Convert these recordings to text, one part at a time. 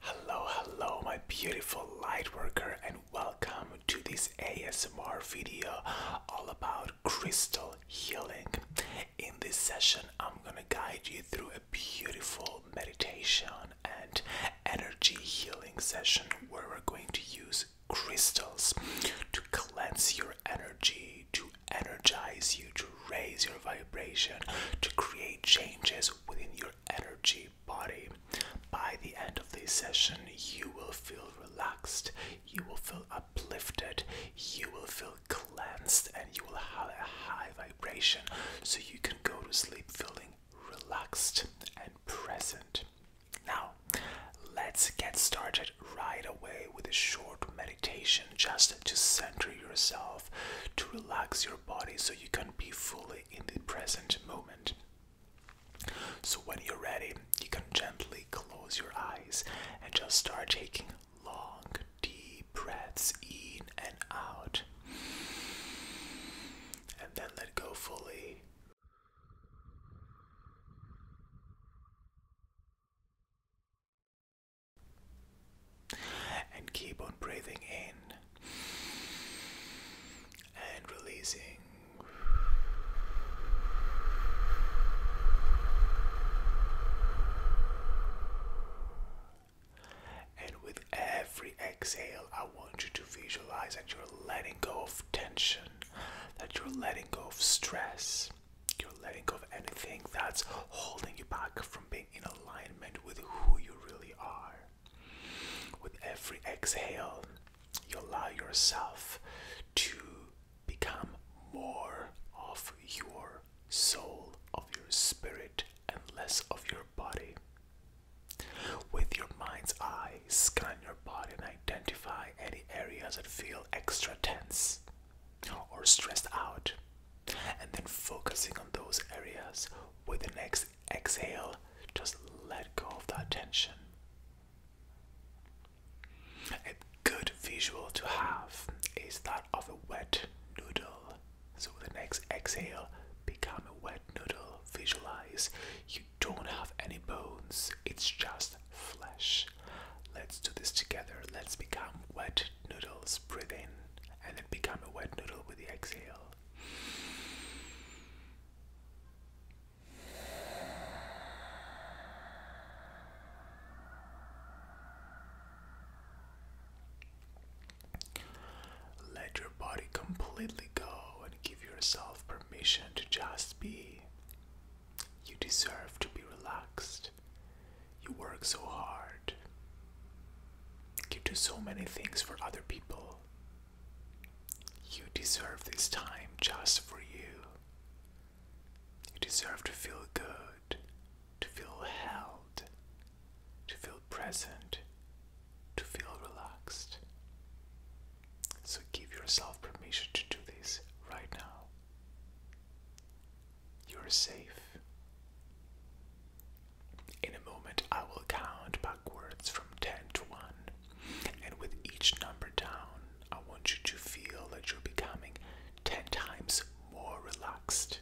Hello, hello, my beautiful light worker, and welcome to this ASMR video all about crystal healing. In this session, I'm gonna guide you through a beautiful meditation and energy healing session where we're going to use crystals to cleanse your energy, to energize you, to raise your vibration, to create changes within your energy body. By the end of the session, you will feel relaxed, you will feel uplifted, you will feel cleansed, and you will have a high vibration so you can go to sleep feeling relaxed and present. Now, let's get started right away with a short meditation just to center yourself, to relax your body so you can be fully in the present moment. So when you're ready, you can gently close your eyes and just start taking long, deep breaths in and out. And then let go fully. And keep on breathing in and releasing. And with every exhale, I want you to visualize that you're letting go of tension, that you're letting go of stress, you're letting go of anything that's holding you back from being in alignment with who you really are. With every exhale, you allow yourself to become more of your soul, of your spirit, and less of your body. With your mind's eye, scan your body and identify any areas that feel extra tense or stressed out and then focusing on those areas with the next exhale just let go of that tension a good visual to have is that of a wet noodle so with the next exhale become a wet noodle visualize you don't have any bones it's just flesh let's do this together let's become wet noodles breathe in and then become a wet noodle with the exhale. Let your body completely go and give yourself permission to just be. You deserve to be relaxed you work so hard. You do so many things for other people. You deserve this time just for you. You deserve to feel good, to feel held, to feel present, to feel relaxed. So give yourself permission to do this right now. You're safe. In a moment, I will count backwards from 10 to 1, and with each number down, I want you to feel that you're becoming 10 times more relaxed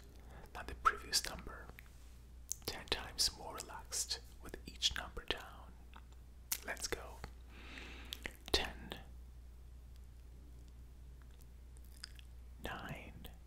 than the previous number. 10 times more relaxed with each number down. Let's go. 10 9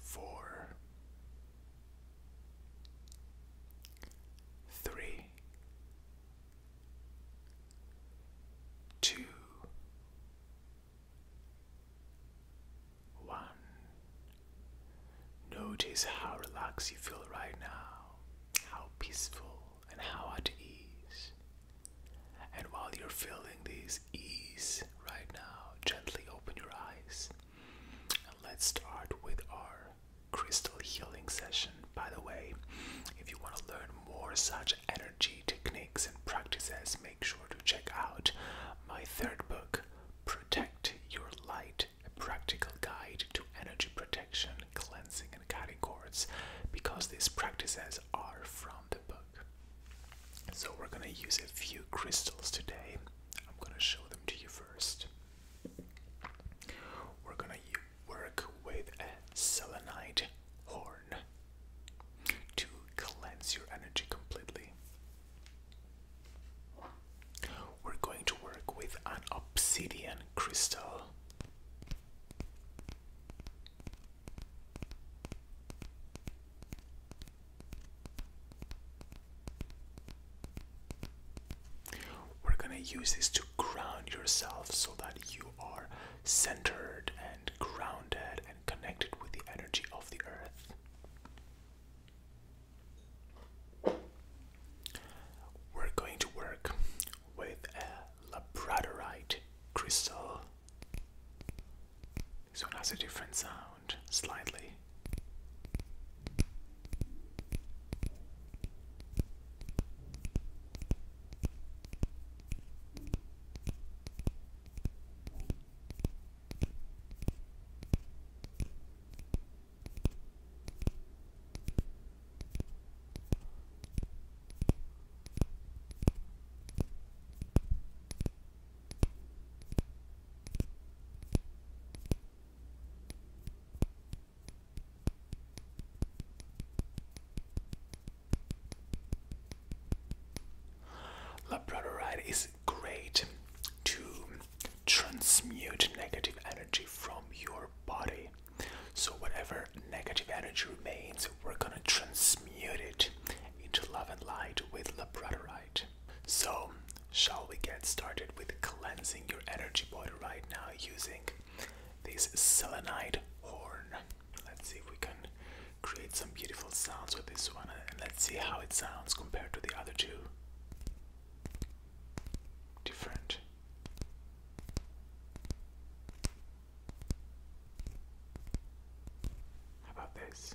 four, three, two, one. Notice how relaxed you feel right now, how peaceful and how at ease. And while you're feeling this ease right now, gently open your eyes let's start with our crystal healing session. By the way, if you want to learn more such energy techniques and practices, make sure to check out my third book, Protect Your Light A Practical Guide to Energy Protection, Cleansing, and Guiding Cords, because these practices are from the book. So, we're going to use a few crystals today I'm gonna show them to you first. We're gonna work with a selenite horn to cleanse your energy completely. We're going to work with an obsidian crystal. We're gonna use this to ground yourself so that you are centered and grounded and connected with the energy of the earth. We're going to work with a labradorite crystal. So it has a different sound, slightly. Labradorite is great to transmute negative energy from your body. So, whatever negative energy remains, we're gonna transmute it into love and light with labradorite. So, shall we get started with cleansing your energy body right now using this selenite horn? Let's see if we can create some beautiful sounds with this one and let's see how it sounds compared to the other two. Different. How about this?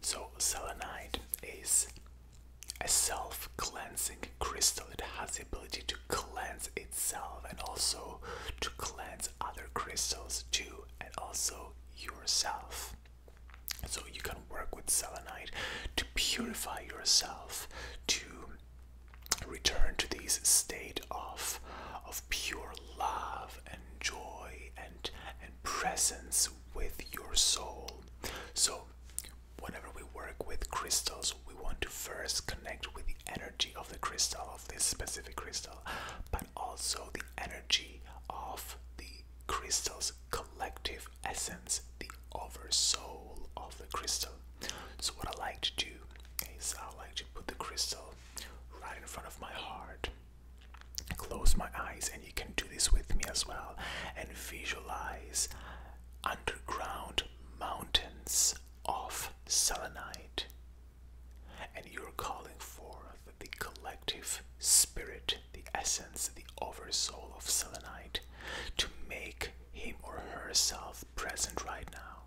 So, selenite is a self cleansing crystal. It has the ability to cleanse itself and also to cleanse other crystals too, and also yourself. So, you can work with selenite to purify yourself, to return to this state of, of pure love and joy and and presence with your soul. So whenever we work with crystals, we want to first connect with the energy of the crystal, of this specific crystal, but also the energy of the crystal's collective essence, the oversoul of the crystal. So what I like to do is I like to put the crystal right in front of my heart Close my eyes, and you can do this with me as well, and visualize underground mountains of selenite. And you're calling forth the collective spirit, the essence, the oversoul of selenite to make him or herself present right now.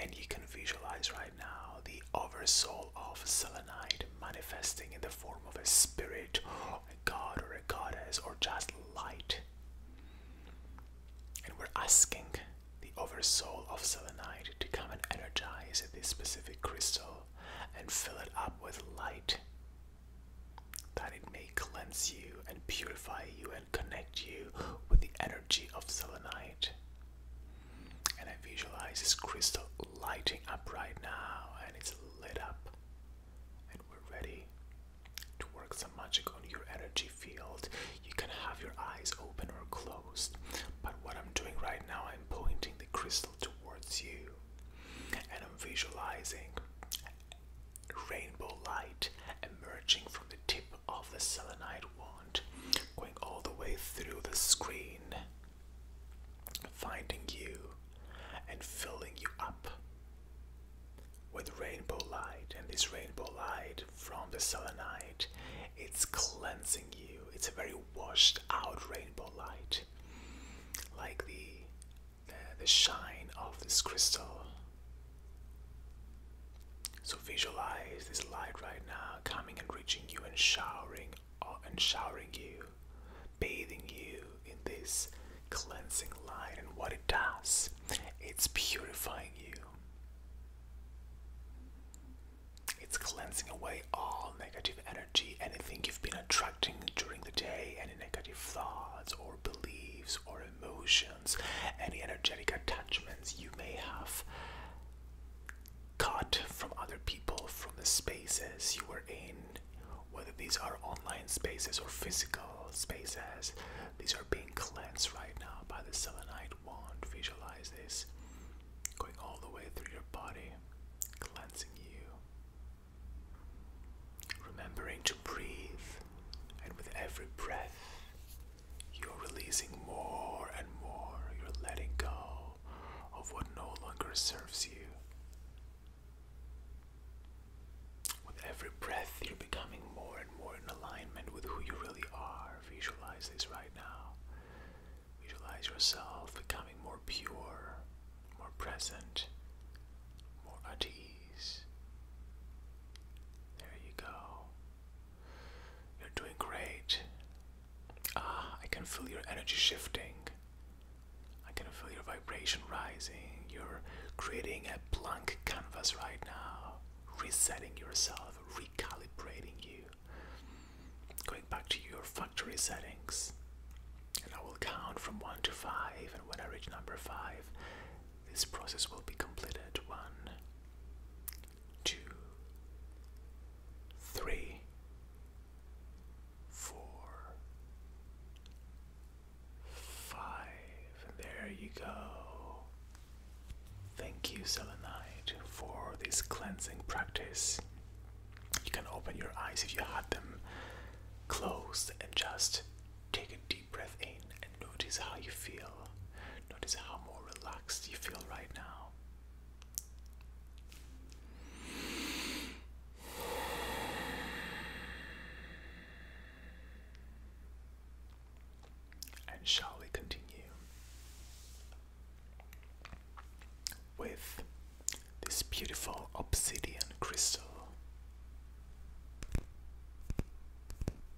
And you can visualize right now the oversoul of selenite manifesting in the form of a spirit, a god, or a goddess, or just light. And we're asking the oversoul of selenite to come and energize this specific crystal and fill it up with light that it may cleanse you and purify you and connect you with the energy of selenite and I visualize this crystal lighting up right now and it's lit up and we're ready to work some magic on your energy field. You can have your eyes open or closed, but what I'm doing right now, I'm pointing the crystal towards you and I'm visualizing rainbow light emerging from the tip of the selenite wand, going all the way through the screen, finding you and filling you up with rainbow light. And this rainbow light from the selenite, it's cleansing you. It's a very washed out rainbow light, like the the, the shine of this crystal. So visualize this light right now coming and reaching you and showering uh, and showering you, bathing you in this cleansing light. And what it does, it's purifying you. It's cleansing away all negative energy, anything you've been attracting during the day, any negative thoughts or beliefs or emotions, any energetic attachments you may have caught from other people from the spaces you were in, whether these are online spaces or physical spaces. These are being cleansed right now by the selenite wand. Visualize this going all the way through your body, cleansing you. Remembering to breathe, and with every breath, you're releasing more and more. You're letting go of what no longer serves you. With every breath, you're becoming more and more in alignment with who you really are. Visualize this right now. Visualize yourself becoming more pure, more present, more at ease. There you go. You're doing great. Ah, I can feel your energy shifting. I can feel your vibration rising. You're creating a blank canvas right now, resetting yourself, recalibrating you, going back to your factory settings. And I will count from 1 to 5, and when I reach number 5, this process will be completed. 1, two, three, four, five. There you go. Thank you, Selenite, for this cleansing practice. You can open your eyes if you had them closed and just take a deep breath in and notice how you feel. Notice how more relaxed you feel right now. And shall we continue with this beautiful obsidian crystal?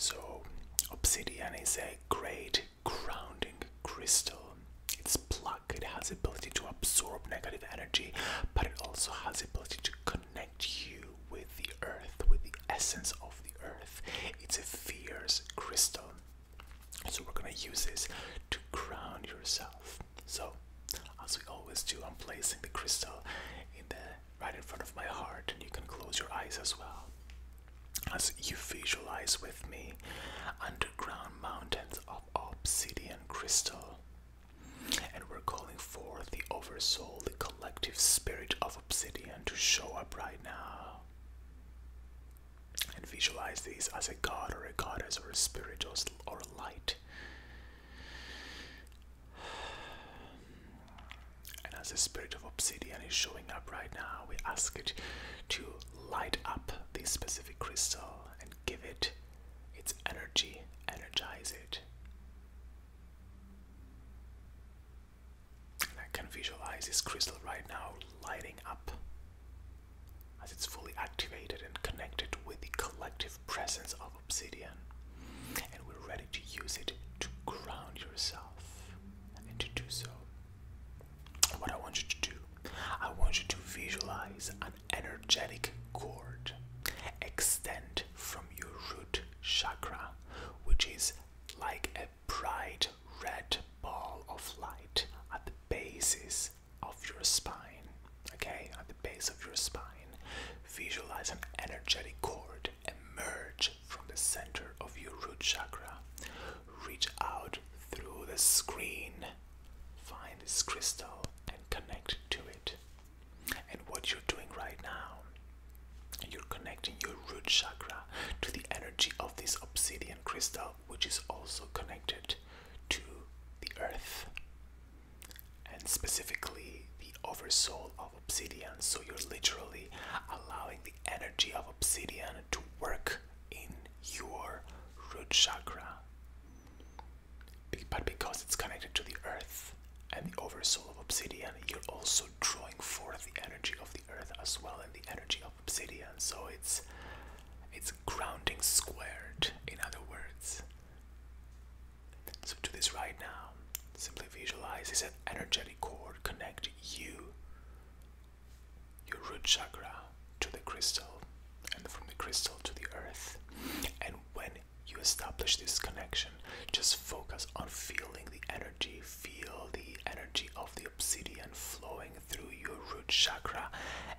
So, obsidian is a great grounding crystal. It's pluck. It has the ability to absorb negative energy, but it also has the ability to connect you with the earth, with the essence of the earth. It's a fierce crystal. So we're gonna use this to ground yourself. So as we always do, I'm placing the crystal in the right in front of my heart, and you can close your eyes as well. As you visualize with me, under underground mountains of obsidian crystal. And we're calling for the oversoul, the collective spirit of obsidian to show up right now. And visualize these as a god or a goddess or a spirit or a light. And as the spirit of obsidian is showing up right now, we ask it to light up this specific crystal. And give it its energy, energize it. I can visualize this crystal right now lighting up as it's fully activated and connected with the collective presence of obsidian. And we're ready to use it to ground yourself. And to do so, what I want you to do, I want you to visualize an energetic cord extend from your root chakra, which is like a bright red ball of light at the basis of your spine. Okay, at the base of your spine, visualize an energetic cord emerge from the center of your root chakra, reach out through the screen, find this crystal, and connect to it. And what you're doing right now, you're connecting your root chakra to the energy of this obsidian crystal, which is also connected to the earth and specifically the oversoul of obsidian. So you're literally allowing the energy of obsidian to work in your root chakra. But because it's connected to the earth and the oversoul of obsidian, you're also drawing forth the energy of the earth as well and the energy of obsidian. So it's it's grounding squared, in other words. So do this right now. Simply visualize is an energetic cord connect you your root chakra to the crystal and from the crystal to the earth. And when you establish this connection, just focus on feeling the energy, feel the energy of the obsidian flowing through your root chakra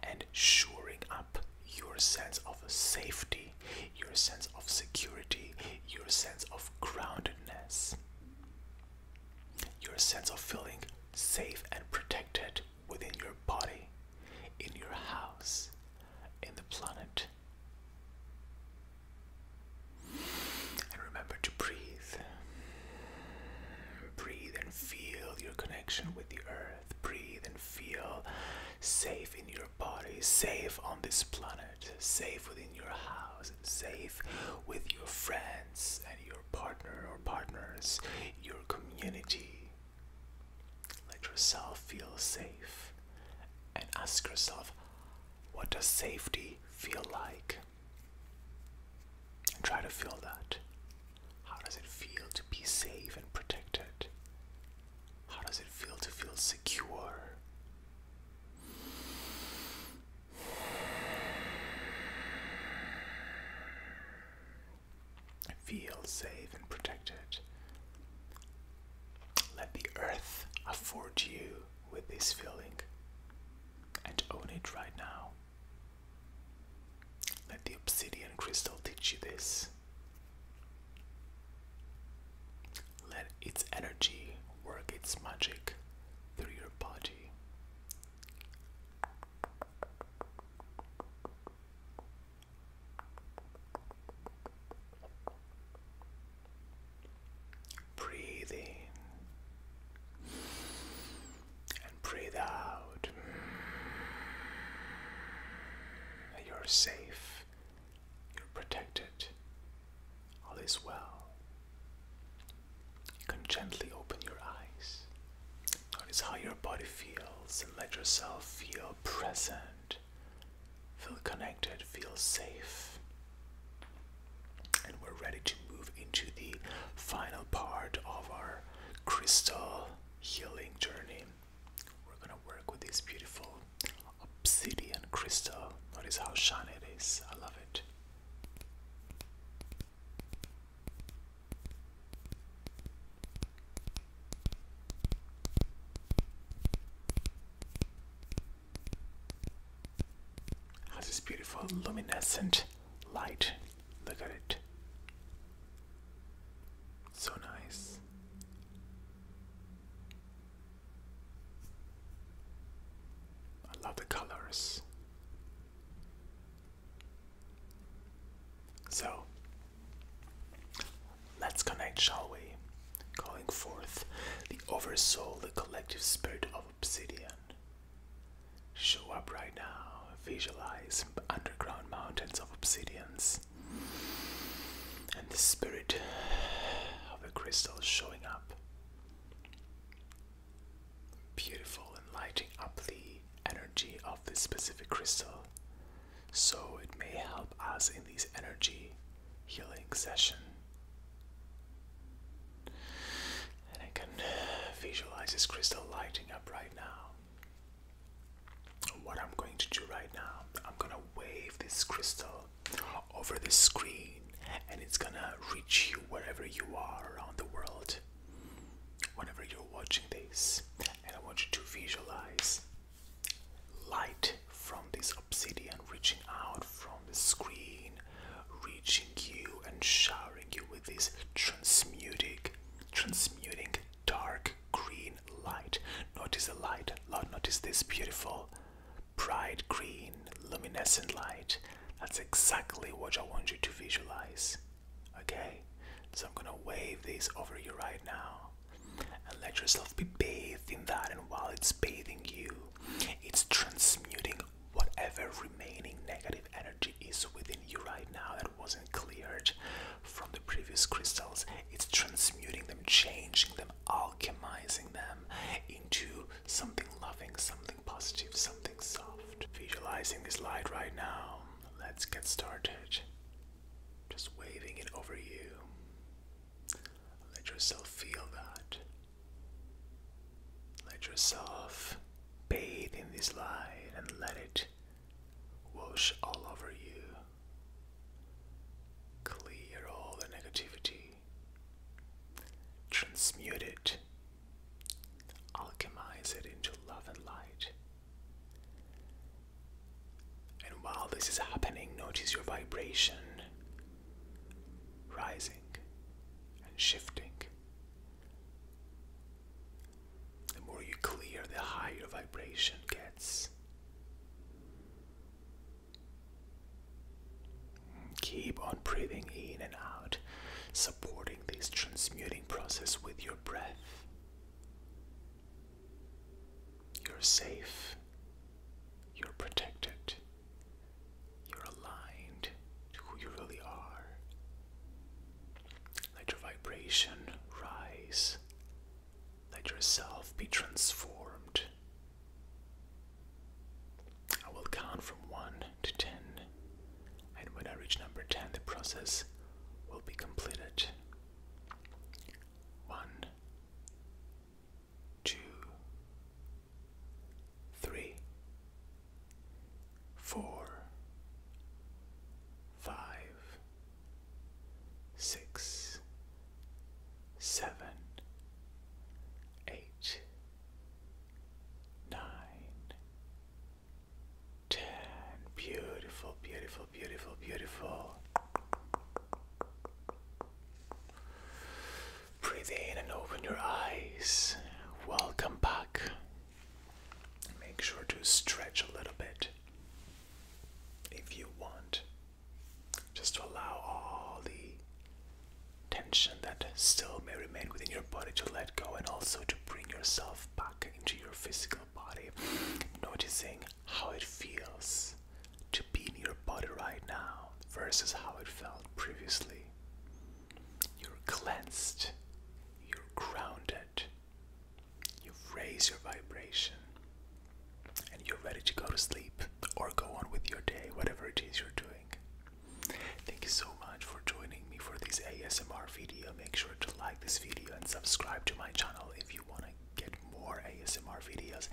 and shoring up your sense of safety, your sense of security, your sense of groundedness, your sense of feeling safe and protected within your body, in your house, in the planet. And remember to breathe. Breathe and feel your connection with the earth. Breathe and feel safe in your body, safe on this planet, safe within your house, safe with your friends and your your partner or partners, your community. Let yourself feel safe and ask yourself, what does safety feel like? And try to feel that. How does it feel to be safe and protected? How does it feel to feel secure? Feel safe and protected. Let the earth afford you with this feeling and own it right now. Let the obsidian crystal teach you this. Let its energy work its magic through your body Breathe and breathe out. You're safe, you're protected, all is well. You can gently open your eyes. Notice how your body feels and let yourself feel present, feel connected, feel safe. And we're ready to move into the final part of our crystal healing journey. We're gonna work with this beautiful obsidian crystal. Notice how shiny it is. I love it. Has this beautiful luminescent light. Look at it. So nice. I love the colors. So let's connect, shall we? Calling forth the oversoul, the collective spirit of obsidian. Show up right now, visualize underground mountains of obsidians and the spirit of the crystal showing up. Beautiful and lighting up the energy of this specific crystal. So it may help us in these energy healing session. And I can visualize this crystal lighting up right now. What I'm going to do right now, I'm gonna wave this crystal over the screen and it's gonna reach you wherever you are around the world whenever you're watching this. And I want you to visualize light from this obsidian reaching out from the screen, reaching you and showering you with this transmuting, transmuting dark green light. Notice the light, notice this beautiful bright green, luminescent light. That's exactly what I want you to visualize. Okay? So I'm gonna wave this over you right now and let yourself be bathed in that. And while it's bathing you, it's transmuting whatever remaining negative energy is within you right now that wasn't cleared from the previous crystals. It's transmuting them, changing them, alchemizing them into something loving, something something positive, something soft. Visualizing this light right now. Let's get started. Just waving it over you. Let yourself feel that. Let yourself bathe in this light and let it wash all over you. Clear all the negativity transmute it, alchemize it into love and light. And while this is happening, notice your vibration rising and shifting. The more you clear, the higher vibration gets. Keep on breathing in and out, supporting this transmuting process with your breath. You're safe, you're protected, you're aligned to who you really are. Let your vibration rise, let yourself be transformed I will count from 1 to 10, and when I reach number 10, the process will be completed. 1, eight, nine, ten. Beautiful, beautiful, beautiful, beautiful. Breathe in and open your eyes. Welcome back. Make sure to stretch a little bit if you want just to allow all the tension that still may remain within your body to let go and also to bring yourself back into your physical body, noticing how it feels to be in your body right now versus how it felt previously. You're cleansed, you're grounded, you've raised your vibration and you're ready to go to sleep or go on with your day, whatever it is you're doing. Thank you so much for joining me for this ASMR video. Make sure to like this video and subscribe to my channel if you want to get more ASMR videos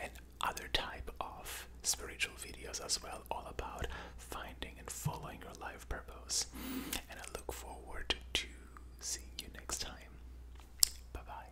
and other type of spiritual videos as well, all about finding and following your life purpose. And I look forward to seeing you next time. Bye bye.